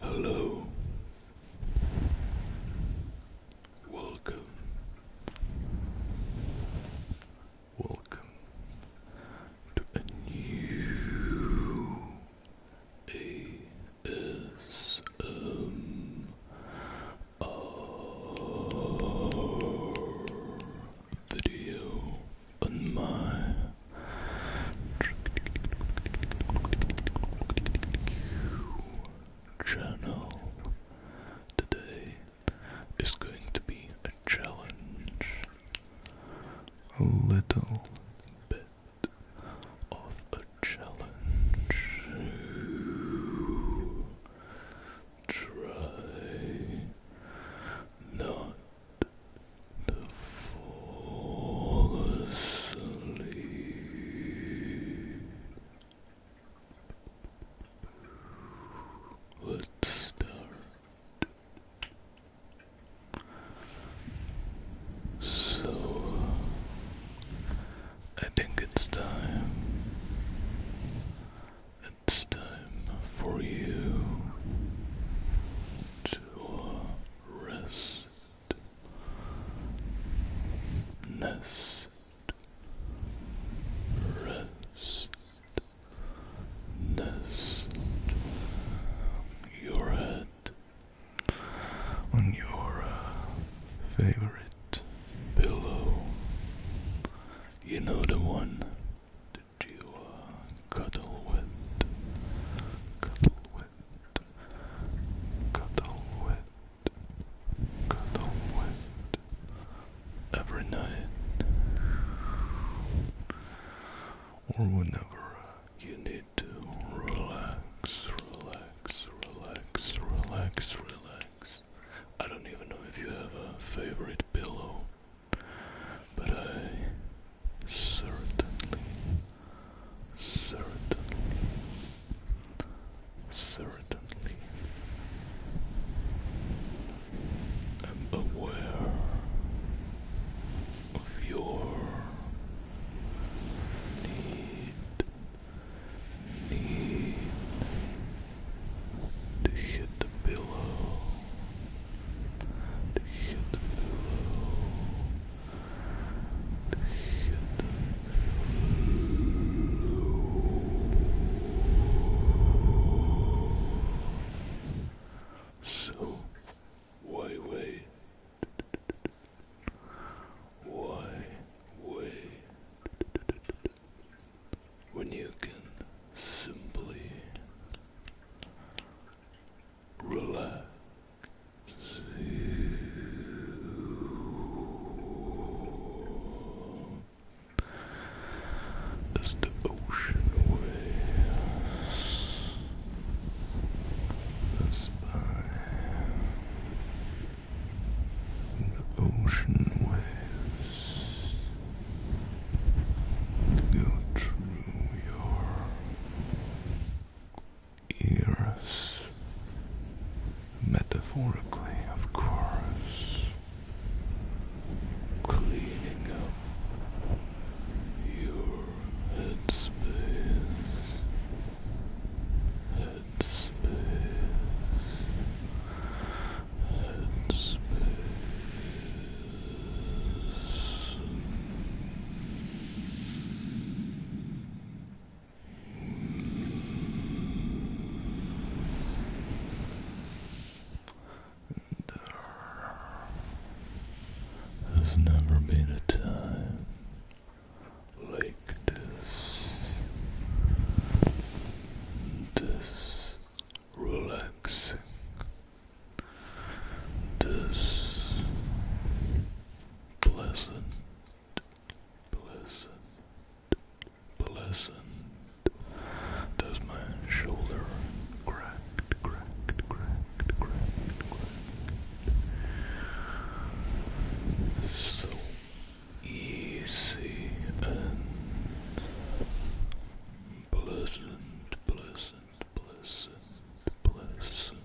Hello, welcome, welcome to a new ASMR video on my channel today is going to be a challenge a little bit of a challenge Try not to fall asleep. Let's start. So, I think it's time it's time for you to rest, nest, rest, nest your head on your uh, favorite pillow. You know the one to uh, cuddle with, cuddle with, cuddle with, cuddle with every night or whenever you need to relax, relax, relax, relax, relax. I don't even know if you have a favorite pillow, but I certainly, certainly, certainly am aware of your need. Need to hit the pillow, to hit the pillow, to hit the pillow. So, why wait? Why wait? when you can simply relax. As the ocean waves pass by, the ocean waves go through your ears, metaphorically, of course, cleaning up your headspace. Headspace and never been a time like like this, relaxing, this pleasant, pleasant, pleasant. Does my shoulder cracked, cracked, cracked, cracked, cracked? So easy and pleasant, pleasant, pleasant, pleasant.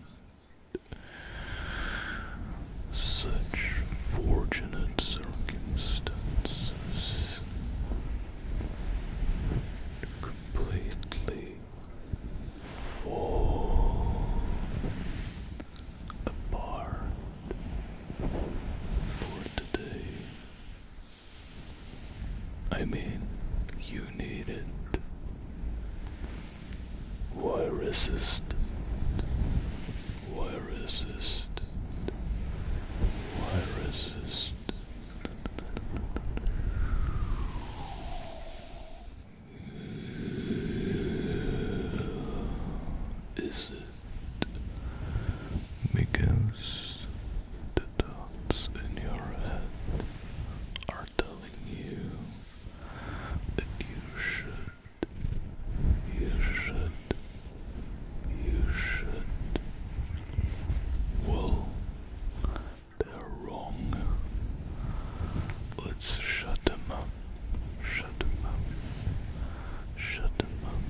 Such fortunate circumstances completely fall apart for today. I mean, you need it. Why resist? Why resist? Why resist? Is it because the thoughts in your head are telling you that you should, you should, you should? Well, they're wrong. Let's shut them up Shut him up. Shut him up.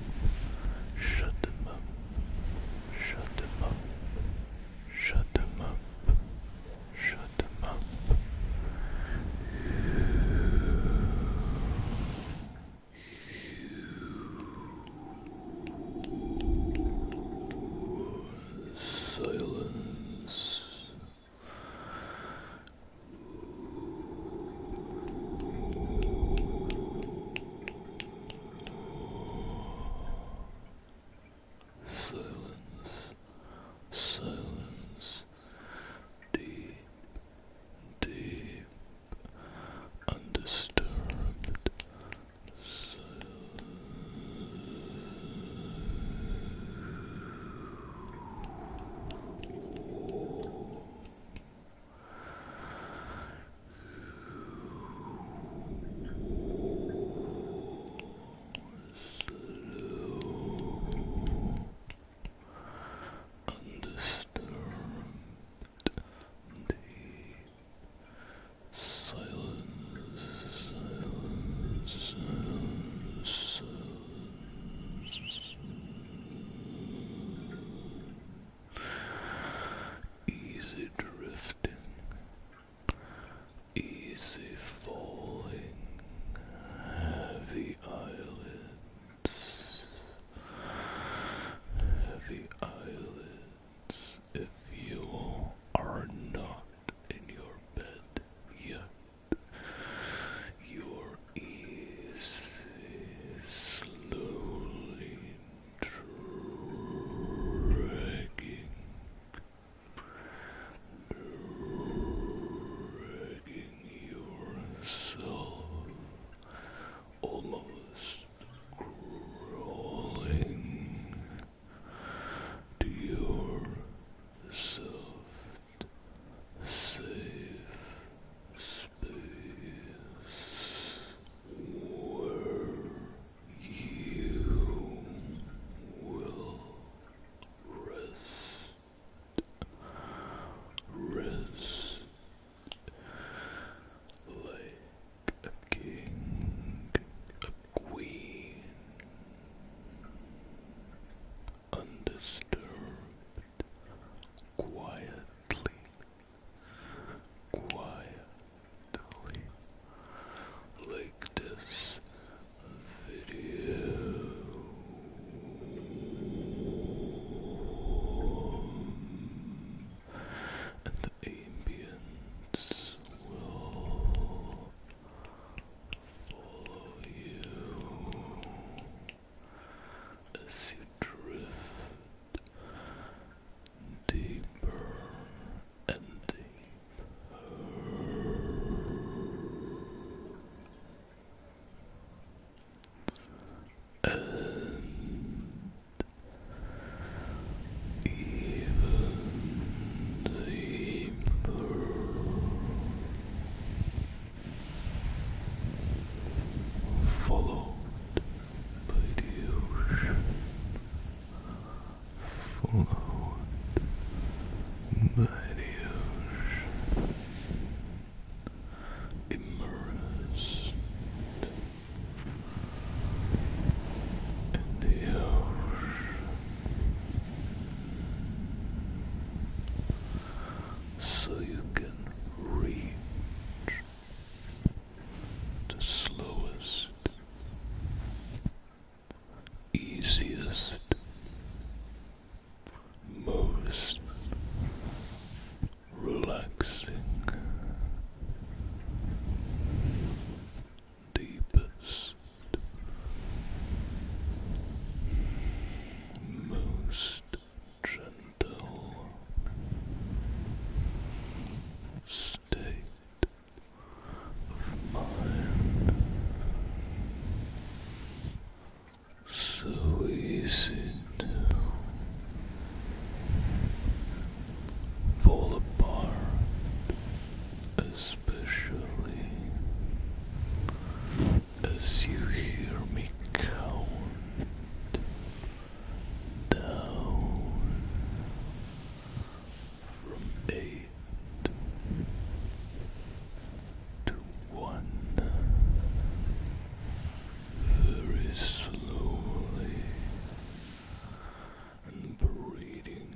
Shut him up. Shut him up. Shut him up. Shut him up. Silence. Silence, silence, deep, deep, undisturbed Undisturbed silence, silence. Easy drifting, easy falling, heavy eyelids, heavy eyelids. If you are not in your bed yet, your ears slowly dragging, dragging yourself, almost crawling to your soft, safe space where you will rest, rest like a king. Queen undisturbed quietly quietly like this video and the ambience will follow you as you drift deeper and deeper and even deeper followed by the followed by the immersed in the so you can reach the slowest, easiest, most relaxing, deepest most gentle state of mind. So easy to fall apart, especially as you hear me count down from eight to one very slowly and breathing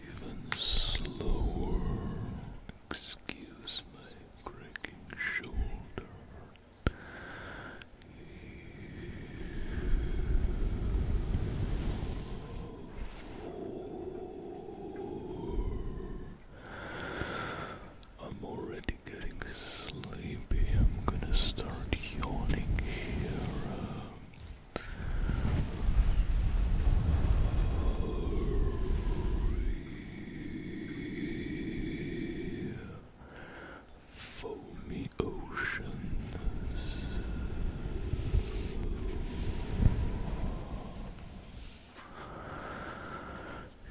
even slower. Excuse my cracking shoulder. I'm already getting sleepy. I'm gonna start yawning here. Foamy oceans.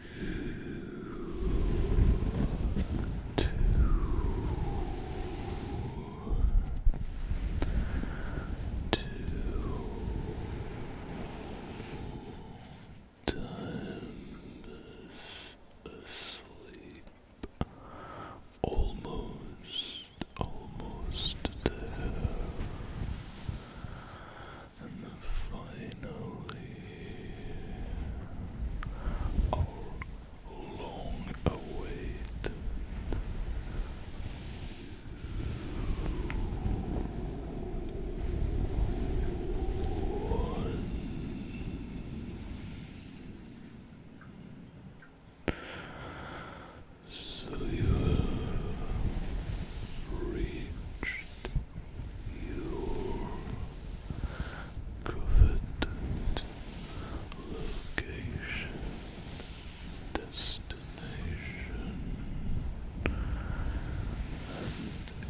You two times asleep. Almost, almost there. And finally, i oh, long awaited. So you have reached your coveted location destination.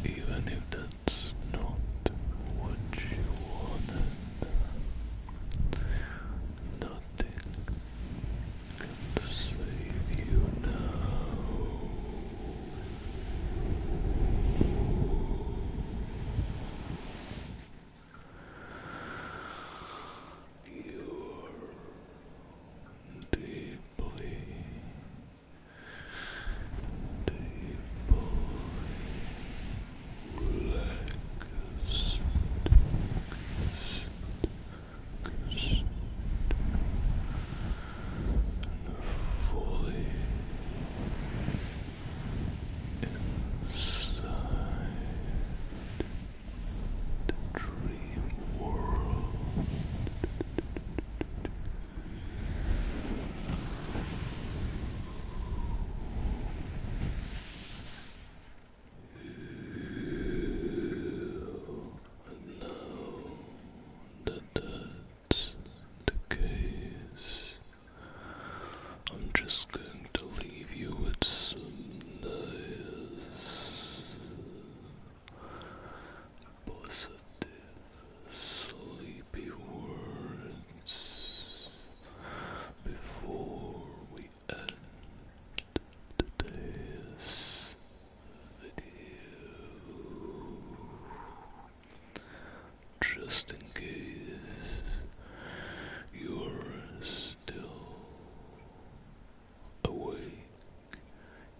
even if that's not what you wanted, nothing can save you now. You're deeply, deeply relaxed. Relaxed. And fully Inside the dream world. And now that that's the I'm just going to leave you with some nice, positive, sleepy words before we end today's video just in case you're still awake.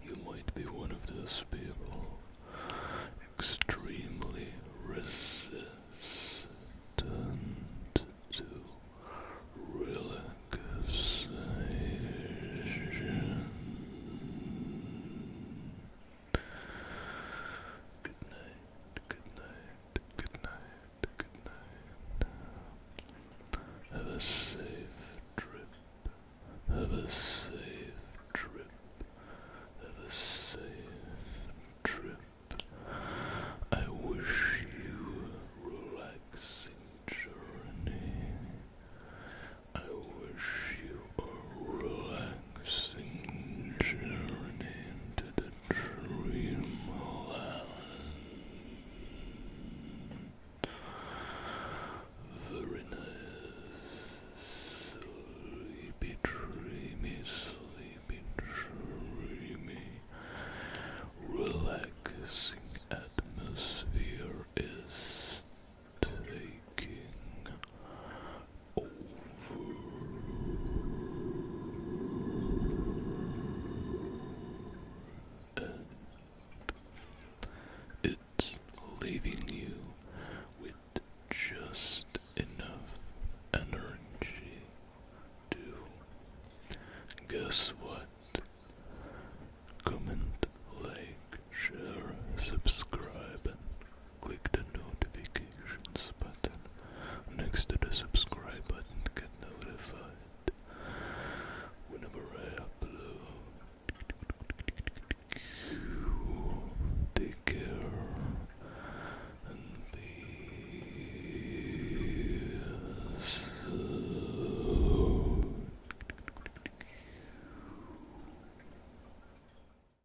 You might be one of those people extremely resistant to relaxation. Good night, good night good night, good night. Have a safe trip, have a safe trip, have a safe trip. I wish you a relaxing journey. I wish you a relaxing Singing journey into the dreamland. Very nice. Sleepy, dreamy, sleepy, dreamy. Relaxing atmosphere is taking it's leaving you with just enough energy to guess what? Comment, like, share, subscribe, and Click the notifications button next to the subscribe button to get notified whenever I upload. Take care and peace.